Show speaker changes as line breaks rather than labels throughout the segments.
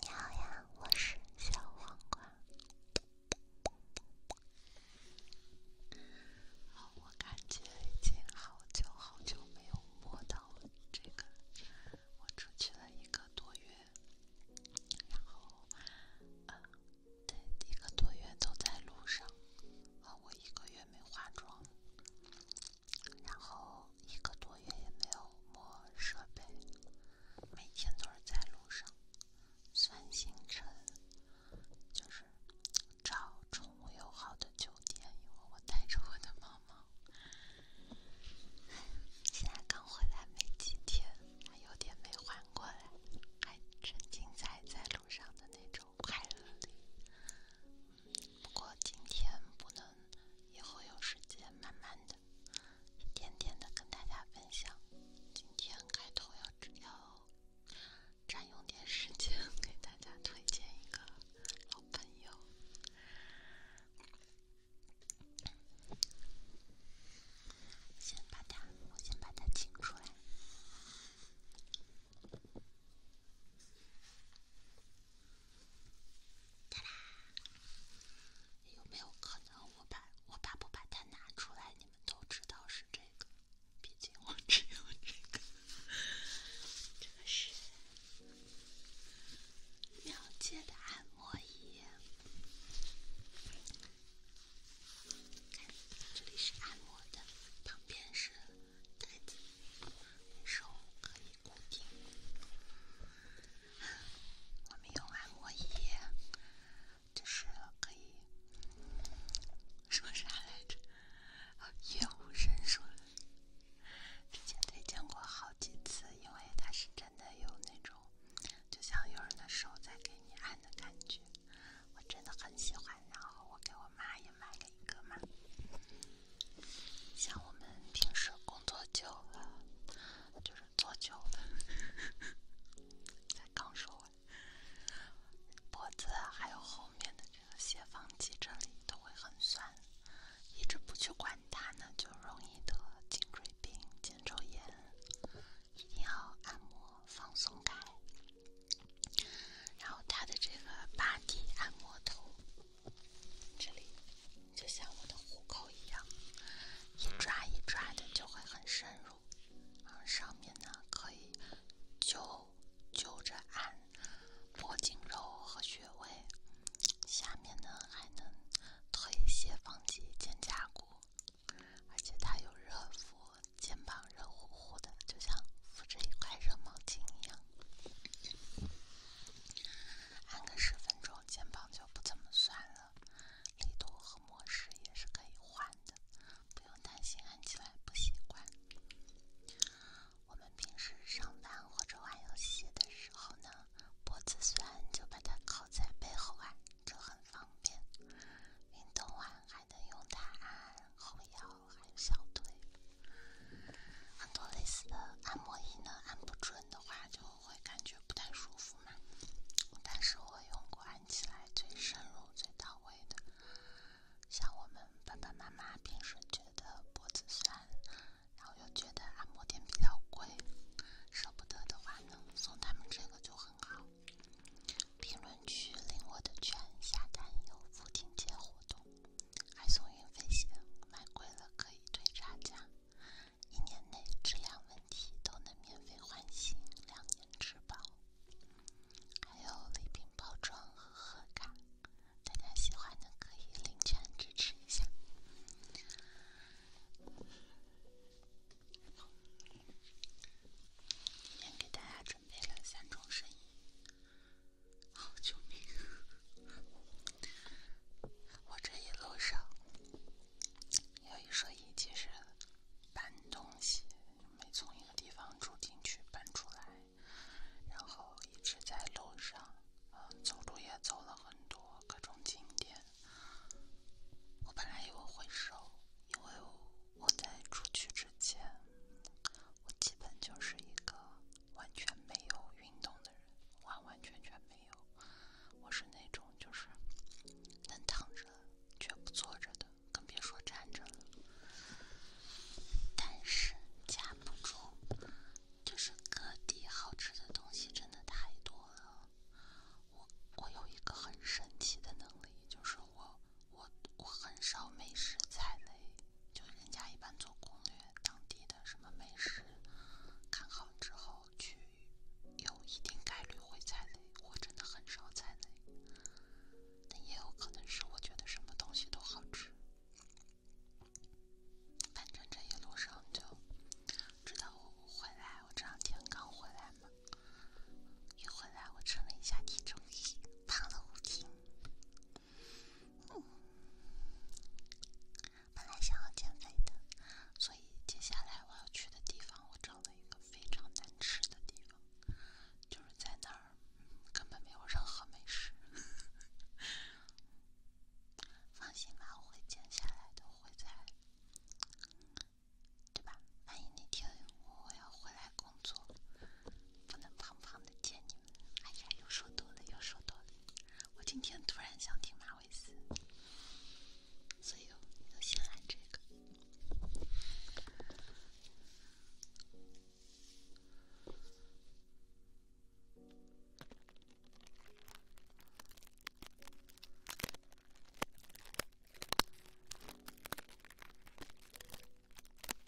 你好呀，我是小黄瓜。哦，我感觉已经好久好久没有摸到这个，我出去了一个多月，然后，啊，一个多月都在路上，啊，我一个月没化妆，然后。一个多月也没有摸设备，每天都是在路上算行程，就是找宠物友好的酒店，因为我带着我的毛毛。现在刚回来没几天，还有点没缓过来，还沉浸在在路上的那种快乐里。不过今天不能，以后有时间慢慢的、一点点的跟大家分享。今天开头要要占用点时间，给大家推荐一个好朋友。先把它，我先把它请出来。有没有可能我把我爸不把它拿出来，你们都知道是这个？毕竟我只有这个，这个是秒界的按摩仪，这里是按摩的，旁边是。太紧，手可以固定。我们用按摩仪，就是可以，说啥来着？叶无神说，之前得见过好几次，因为它是真的有那种，就像有人的手在给你按的感觉，我真的很喜欢。然后我给我妈也。买了一个嘛，像我们平时工作久了，就是坐久了，才 刚说完，脖子还有后面的这个斜方肌这里都会很酸，一直不去管它呢，就容易得颈椎病、肩周炎，一定要按摩放松开。然后它的这个八 D 按摩头。这里就像我的虎口一样，一抓一抓的就会很深入。然上面呢可以揪揪着按脖颈肉和穴位，下面呢还能推斜方肌、肩胛骨，而且它有热敷，肩膀热乎乎的，就像敷着一块热毛巾一样。按个十分钟，肩膀就不怎么酸了。力度和模式也是可以换的，不用担心按起来不习惯。我们平时上班或者玩游戏的时候呢，脖子酸就把它靠在背后按，这很方便。运动完还能用它按按后腰。还有小腿，很多类似的按摩仪呢，按不准的话就会感觉不太舒服嘛。但是我用过按起来最深入、最到位的，像我们爸爸妈妈平时觉得脖子酸，然后又觉得按摩店比较贵，舍不得的话呢，送他们这个就很好。评论区领我的券，下单有父亲节活动。还送运费险，买贵了可以退差价，一年内质量问题都能免费换新，两年质保，还有礼品包装和贺卡，大家喜欢的可以领券支持一下。今天给大家准备了三种声音。好救命！我这一路上，有一说一，其实搬东西，没从一个地方住进去搬出来，然后一直在路上，呃，走路也走了很多各种景点。我本来以为会瘦，因为我在出去之前，我基本就是一个。完全没有运动的人，完完全全没有。我是那种就是能躺着却不坐着的，更别说站着了。但是架不住，就是各地好吃的东西真的太多了。我我有一个很神奇的能力，就是我我我很少没事在雷。就人家一般做攻略，当地的什么美食看好之后去，有一定概率会踩雷，我真的很少踩雷，但也有可能是我觉得什么东西都好吃。反正这一路上就，直到我回来，我这两天刚回来嘛，一回来我称了一下体重，胖了五斤。本来想要减肥的，所以接下来我要去的地方，我找了一个非常难吃的地方，就是在那儿根本没有任何美食。放心吧，我会减下来的，会在，对吧？万一那天我要回来工作，不能胖胖的见你。哎呀，又说多了，又说多了。我今天突然想听马尾丝，所以又又先来这个。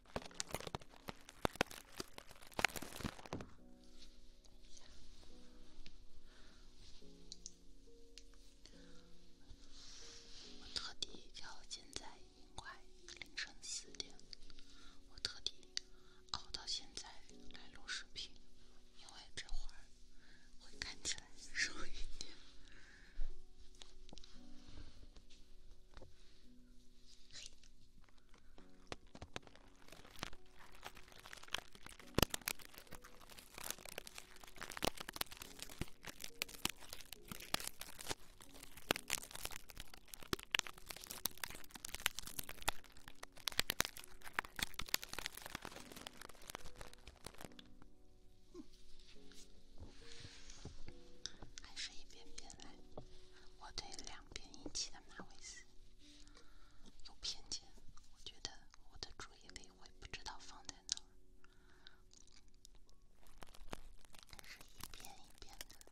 我特地叫现在快凌晨四点，我特地熬到现在来录视频，因为这会儿会看起来瘦一点。还是一遍遍来。我对两边引起的马尾丝有偏见，我觉得我的注意力会不知道放在哪儿，但是一遍一遍的说。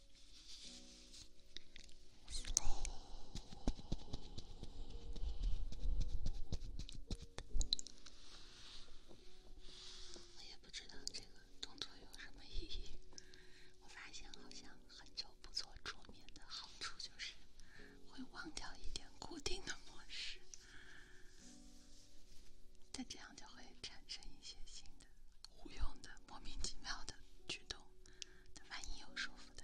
我也不知道这个动作有什么意义。我发现好像很久不做桌面的好处就是会忘掉一点固定的模式，再这样就会产生一些新的。胡用的莫名其妙的举动，他反应有舒服的，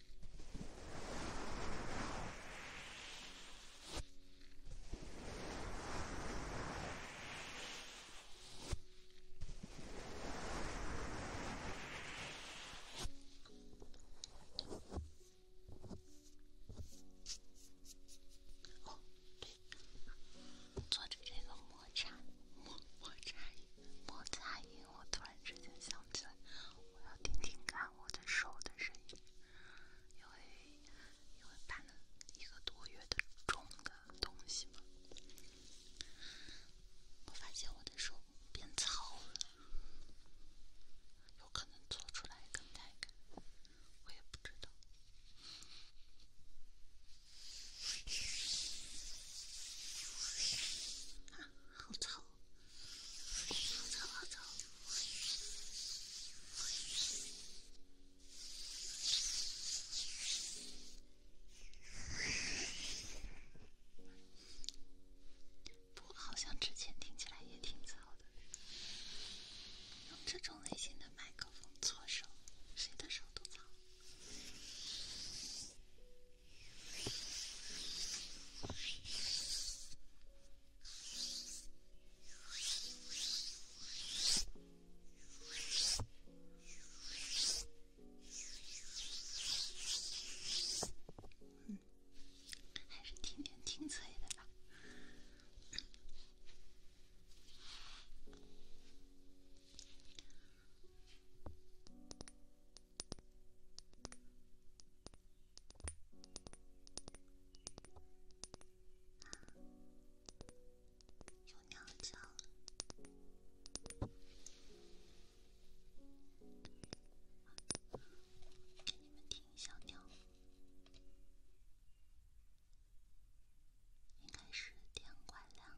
哦，对，着这个摩擦，摩擦音，摩擦音。我突然之间想起来，我要听听看我的手的声音。因为因为把一个多月的重的东西嘛，我发现我的手变糙了，有可能做出来更带我也不知道，啊，好吵。好嘈好嘈，不过好像之前听起来也挺嘈的。用这种类型的麦克风搓手，谁的手都嘈。嗯，还是听听清脆的吧。有鸟叫了，给你们听小鸟，应该是天快亮了。